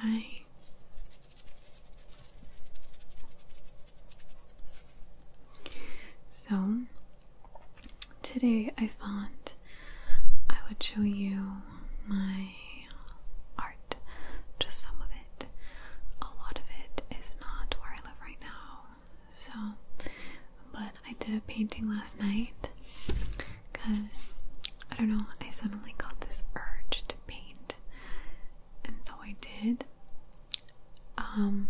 Hi. So, today I thought I would show you my art, just some of it. A lot of it is not where I live right now, so, but I did a painting last night because I don't know, I suddenly got this urge to paint, and so I did. Um,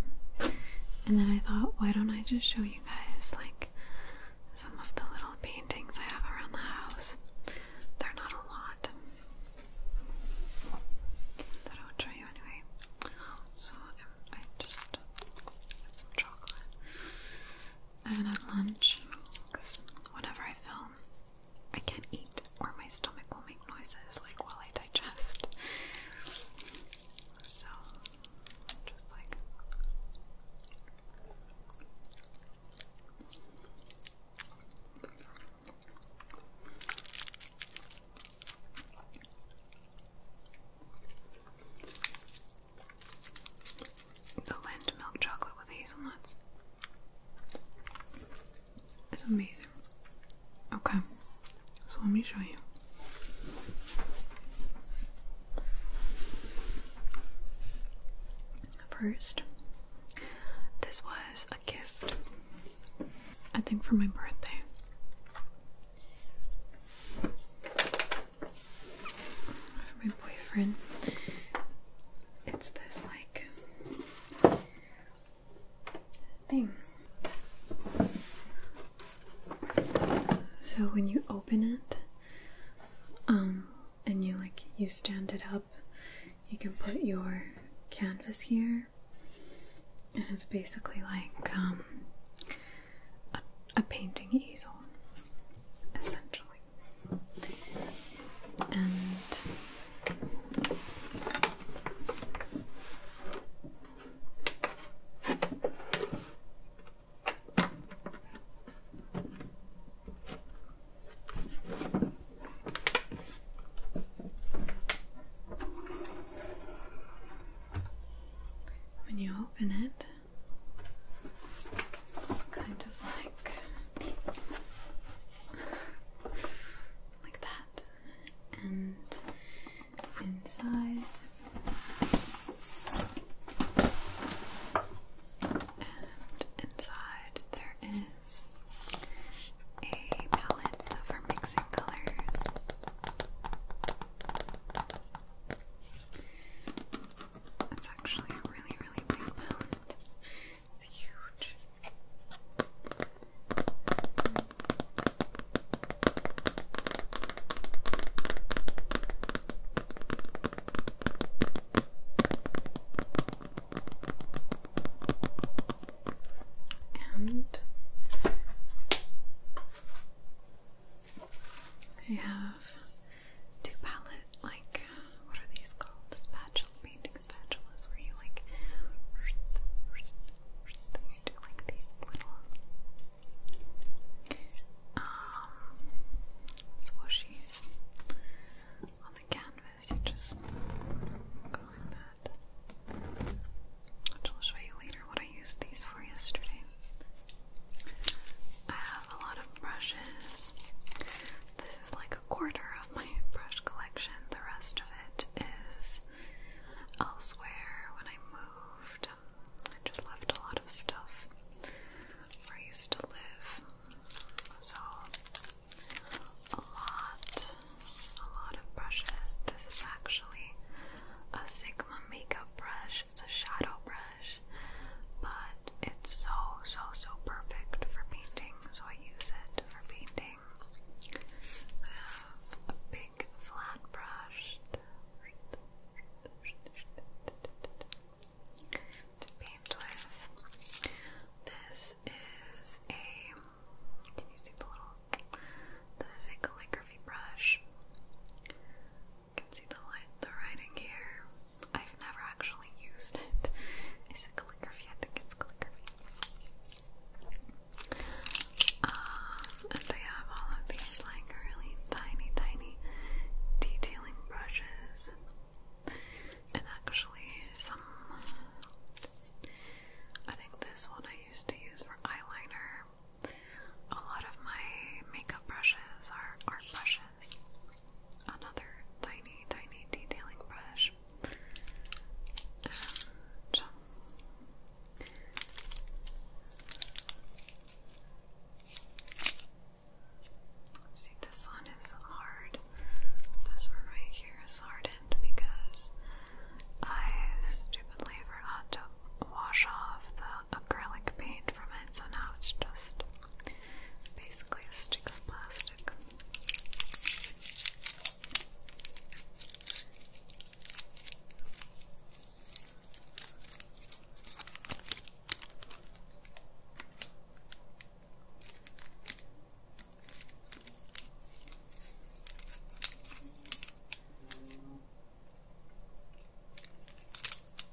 and then I thought, why don't I just show you guys like some of the little paintings I have around the house? They're not a lot. That I would show you anyway. So um, I just have some chocolate. I haven't had lunch because whatever I film, I can't eat or my stomach will make noises like while I digest. So just like the lent milk chocolate with hazelnuts. It's amazing. Okay, so let me show you. First, this was a gift, I think, for my birthday from my boyfriend. It's this like thing. So when you open it, um, and you like you stand it up, you can put your canvas here, and it's basically like um, a, a painting easel, essentially. And when you open it, kind of like like that, and inside. And inside there is a palette for mixing colors. It's actually a really, really big palette. It's huge. And I have do palette like uh, what are these called? Spatula painting spatulas where you like do like these little um on the canvas. You just go like that. Which I'll show you later what I used these for yesterday. I have a lot of brushes this. is like a quarter of my brush collection. The rest of it is elsewhere when I moved. Um, I just left a lot of stuff where I used to live. So a lot, a lot of brushes. This is actually a Sigma makeup brush. It's a shadow brush brush, but it's so, so, so perfect for painting, so I use it for painting. I have a big flat brush to paint with. This is a, can you see the little, the calligraphy brush? can see the the writing here. I've never actually used it. Is it calligraphy? I think it's calligraphy. Um, and I have all of these like really tiny, tiny detailing brushes, and actually some. I think this one I used to use for eyeliner. A lot of my makeup brushes are art brushes another tiny, tiny detailing brush. Um, see, this one is hard. This one right here is hardened because I stupidly forgot to wash off the acrylic paint from it, so now it's just basically a stick of plastic.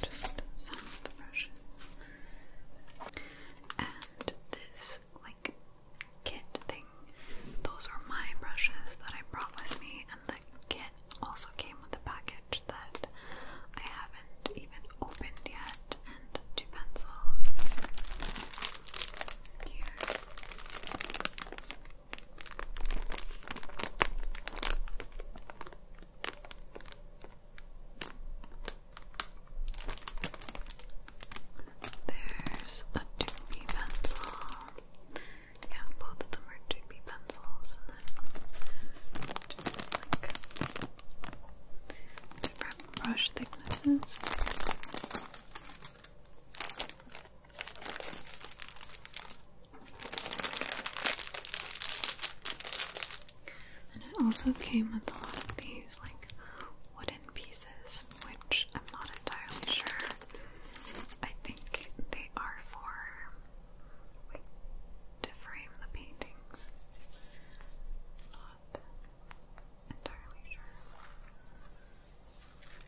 just some of the brushes. And this like kit thing, those are my brushes that I brought with me and the kit also came with a package that I haven't even opened yet and two pencils. Here. There's a doopy pencil. Yeah, both of them are doopy pencils, and then different brush thicknesses. And it also came with a lot of these like wooden pieces, which I'm not entirely sure. I think they are for to frame the paintings. Not entirely sure.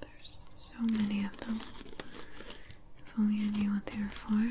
There's so many of them. If only I knew what they were for.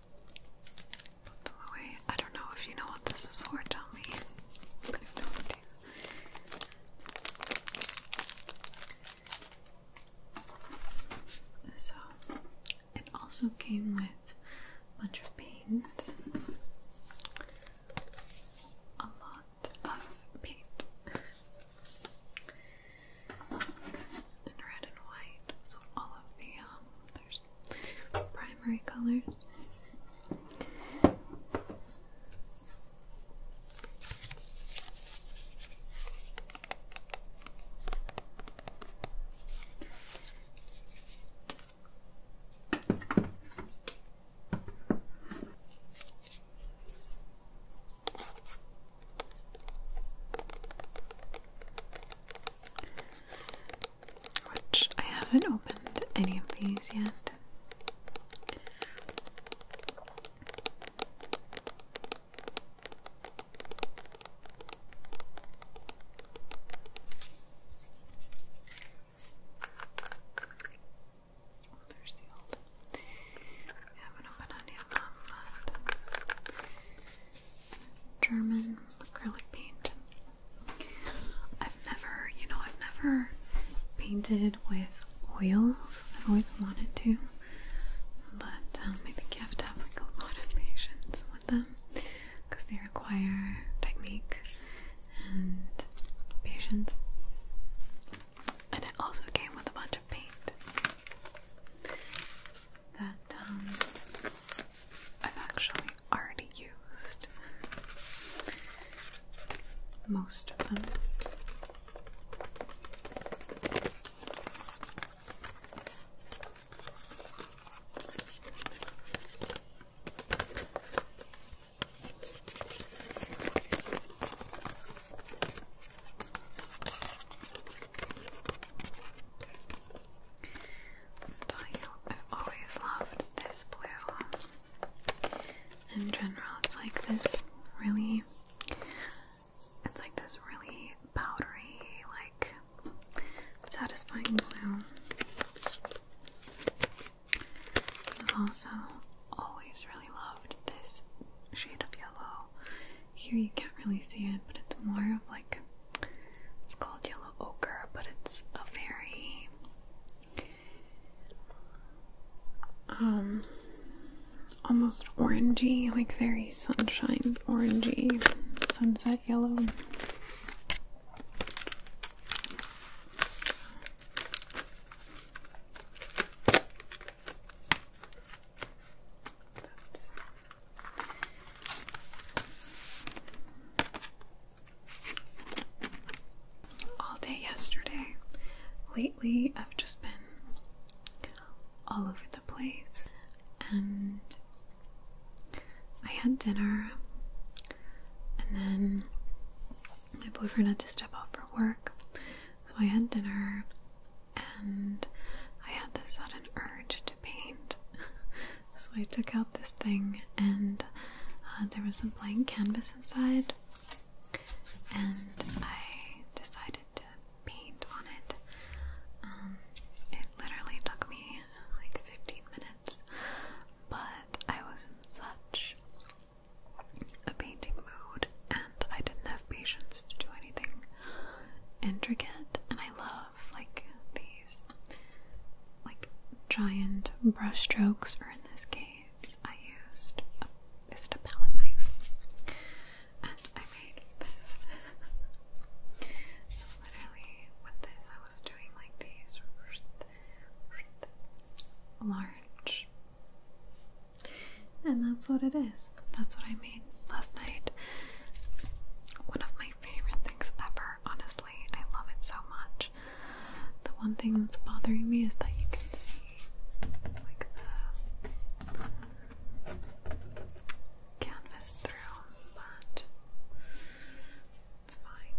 Put I don't know if you know what this is for, tell me. So, it also came with a bunch of paint. A lot of paint. and red and white. So all of the um, primary colors which I haven't opened any of these yet. Oh, they're I haven't opened any of them. But German acrylic paint. I've never, you know, I've never painted with oils. I've always wanted to, but um, I think you have to have like a lot of patience with them because they require technique and patience. And it also came with a bunch of paint that um, I've actually already used most of them. I'll tell you, I've always loved this blue. In general, it's like this really, it's like this really powdery, like satisfying blue. I've also always really loved this shade of yellow. Here you can't really see it, but it's more of like it's called yellow ochre, but it's a very um almost orangey, like very sunshine orangey, sunset yellow. All day yesterday. Lately, I've just been all over the place, and I had dinner, and then my boyfriend had to step out for work, so I had dinner, and I had this sudden urge to paint, so I took out this thing, and uh, there was a blank canvas inside, and I decided to paint on it. Um, it literally took me like 15 minutes, but I was in such a painting mood, and I didn't have patience to do anything intricate. And I love like these like giant brushstrokes. strokes or in this case I used a, is it a palette knife and I made this so literally with this I was doing like these large and that's what it is that's what I last night. One of my favorite things ever, honestly. I love it so much. The one thing that's bothering me is that you can see like the canvas through, but it's fine.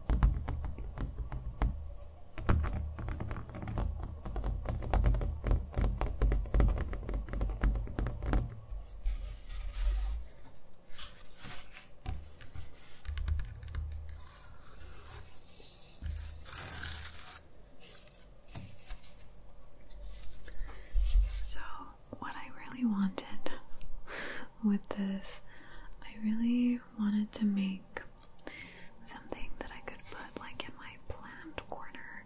So, what I really wanted with this, I really wanted to make something that I could put like in my plant corner.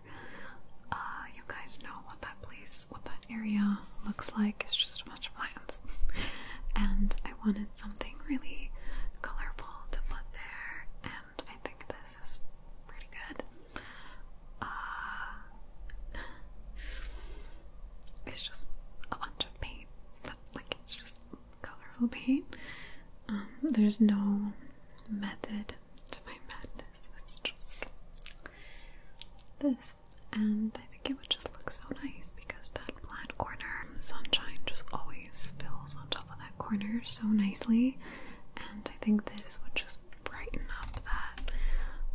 Uh, you guys know what that place, what that area looks like. It's just a bunch of plants. and I wanted something really colorful to put there, and I think this is pretty good. Uh, it's just a bunch of paint. That, like it's just colorful paint. Um, there's no method to my madness. It's just this, and I think it would just look so nice because that flat corner, sunshine just always spills on top of that corner so nicely. And I think this would just brighten up that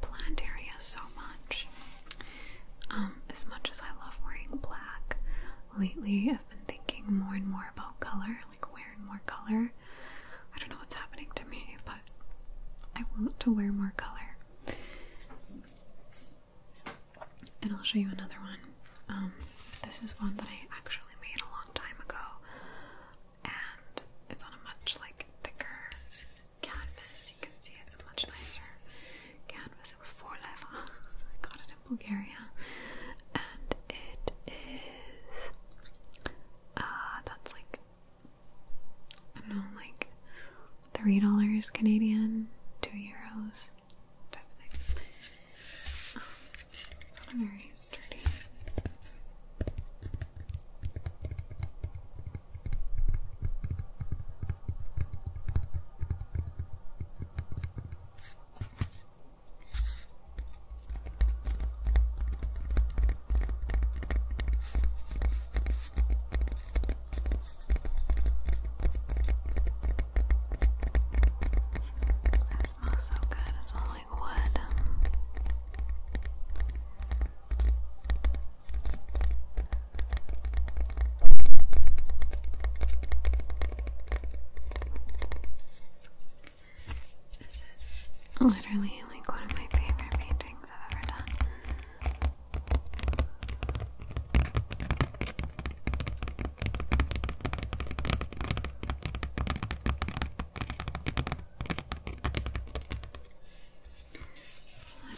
plant area so much. Um, as much as I love wearing black, lately I've been thinking more and more about color, like wearing more color. I don't know what's happening to me, but I want to wear more color. And I'll show you another one. Um, this is one that I actually made a long time ago, and it's on a much like thicker canvas. You can see it's much nicer canvas. It was four leva. I got it in Bulgaria, and it is uh, that's like I don't know, like three dollars Canadian, two euros type thing. very sturdy. That smells so good, it smells like wood. This is literally like one of my favorite paintings I've ever done.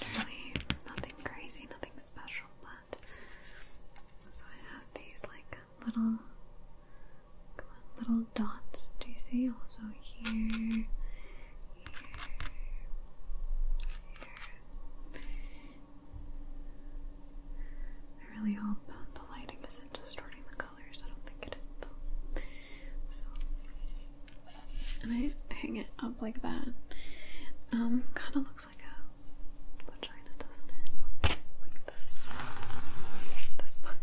Literally nothing crazy, nothing special, but so it has these like little little dots. Do you see? Also here, here, here. I really hope the lighting isn't distorting the colors. I don't think it is though. So and I hang it up like that. Um, kind of looks like a vagina, doesn't it? Like, like this, this part.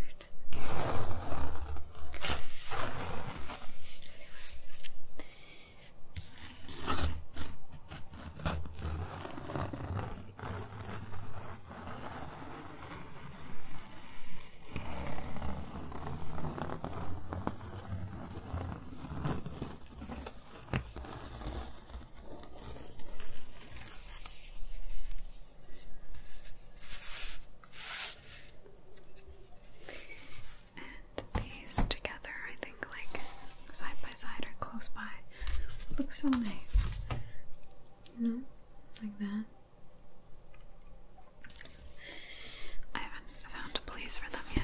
And these together, I think, like side by side or close by, look so nice. You know, like that. I haven't found a place for them yet.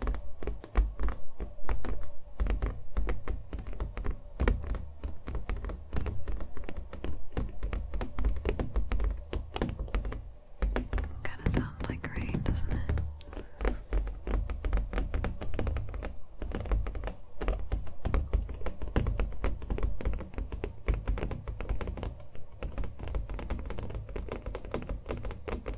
Kind of sounds like rain, doesn't it? All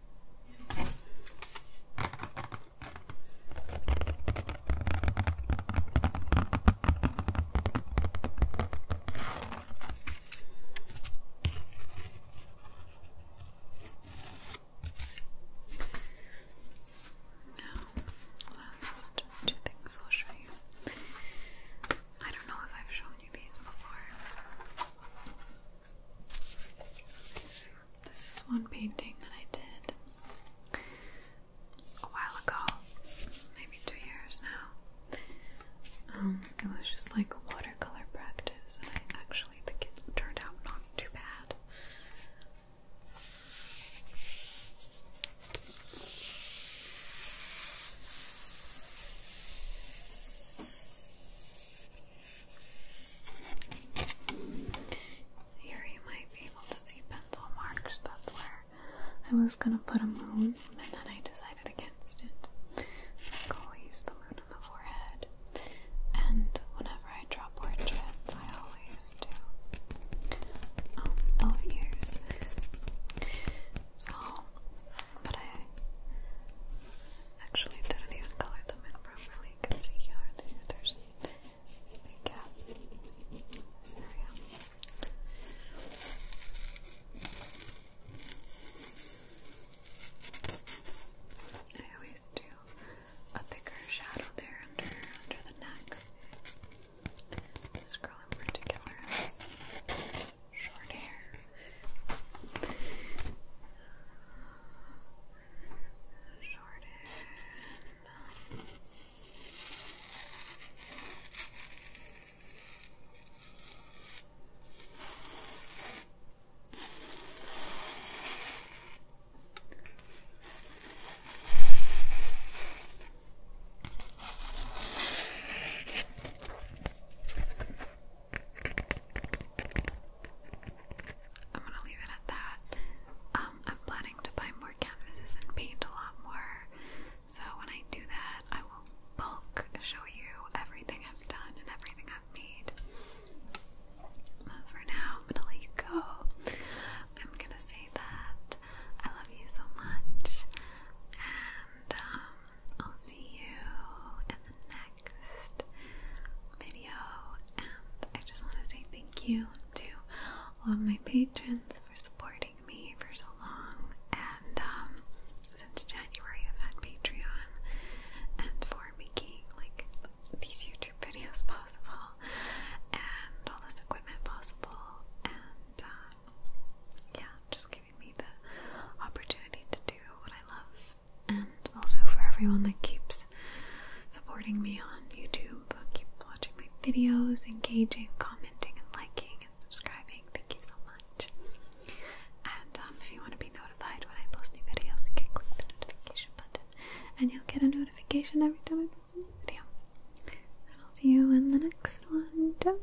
Now, last two things I'll show you. I don't know if I've shown you these before. This is one painting that I did a while ago, maybe two years now. Um, it was just like watercolor practice, and actually think it turned out not too bad. Here you might be able to see pencil marks. That's where I was gonna put a moon, and then I decided against it. Like always, the moon on the forehead. And whenever I draw portraits, I always do um, elf ears. So, but I Actually, didn't even color them in properly. You can see here, there's a big gap in this area. I always do a thicker shadow there under under the neck. This girl in particular is short hair. Short hair. I'm gonna leave it at that. Um, I'm planning to buy more canvases and paint a lot more. So when I do that, I will bulk show you everything I've done and everything I've made. But for now, I'm gonna let you go. I'm gonna say that I love you so much, and um, I'll see you in the next next video. And I just want to say thank you to all of my patrons for supporting me for so long. And um, since January, I've had Patreon, and for making like these YouTube videos possible, and all this equipment possible, and um, yeah, just giving me the opportunity to do what I love and also for everyone that keeps supporting me on YouTube. Keep watching my videos, engaging, commenting, and liking, and subscribing. Thank you so much. And um, if you want to be notified when I post new videos, you can click the notification button, and you'll get a notification every time I post a new video. And I'll see you in the next one. Ciao.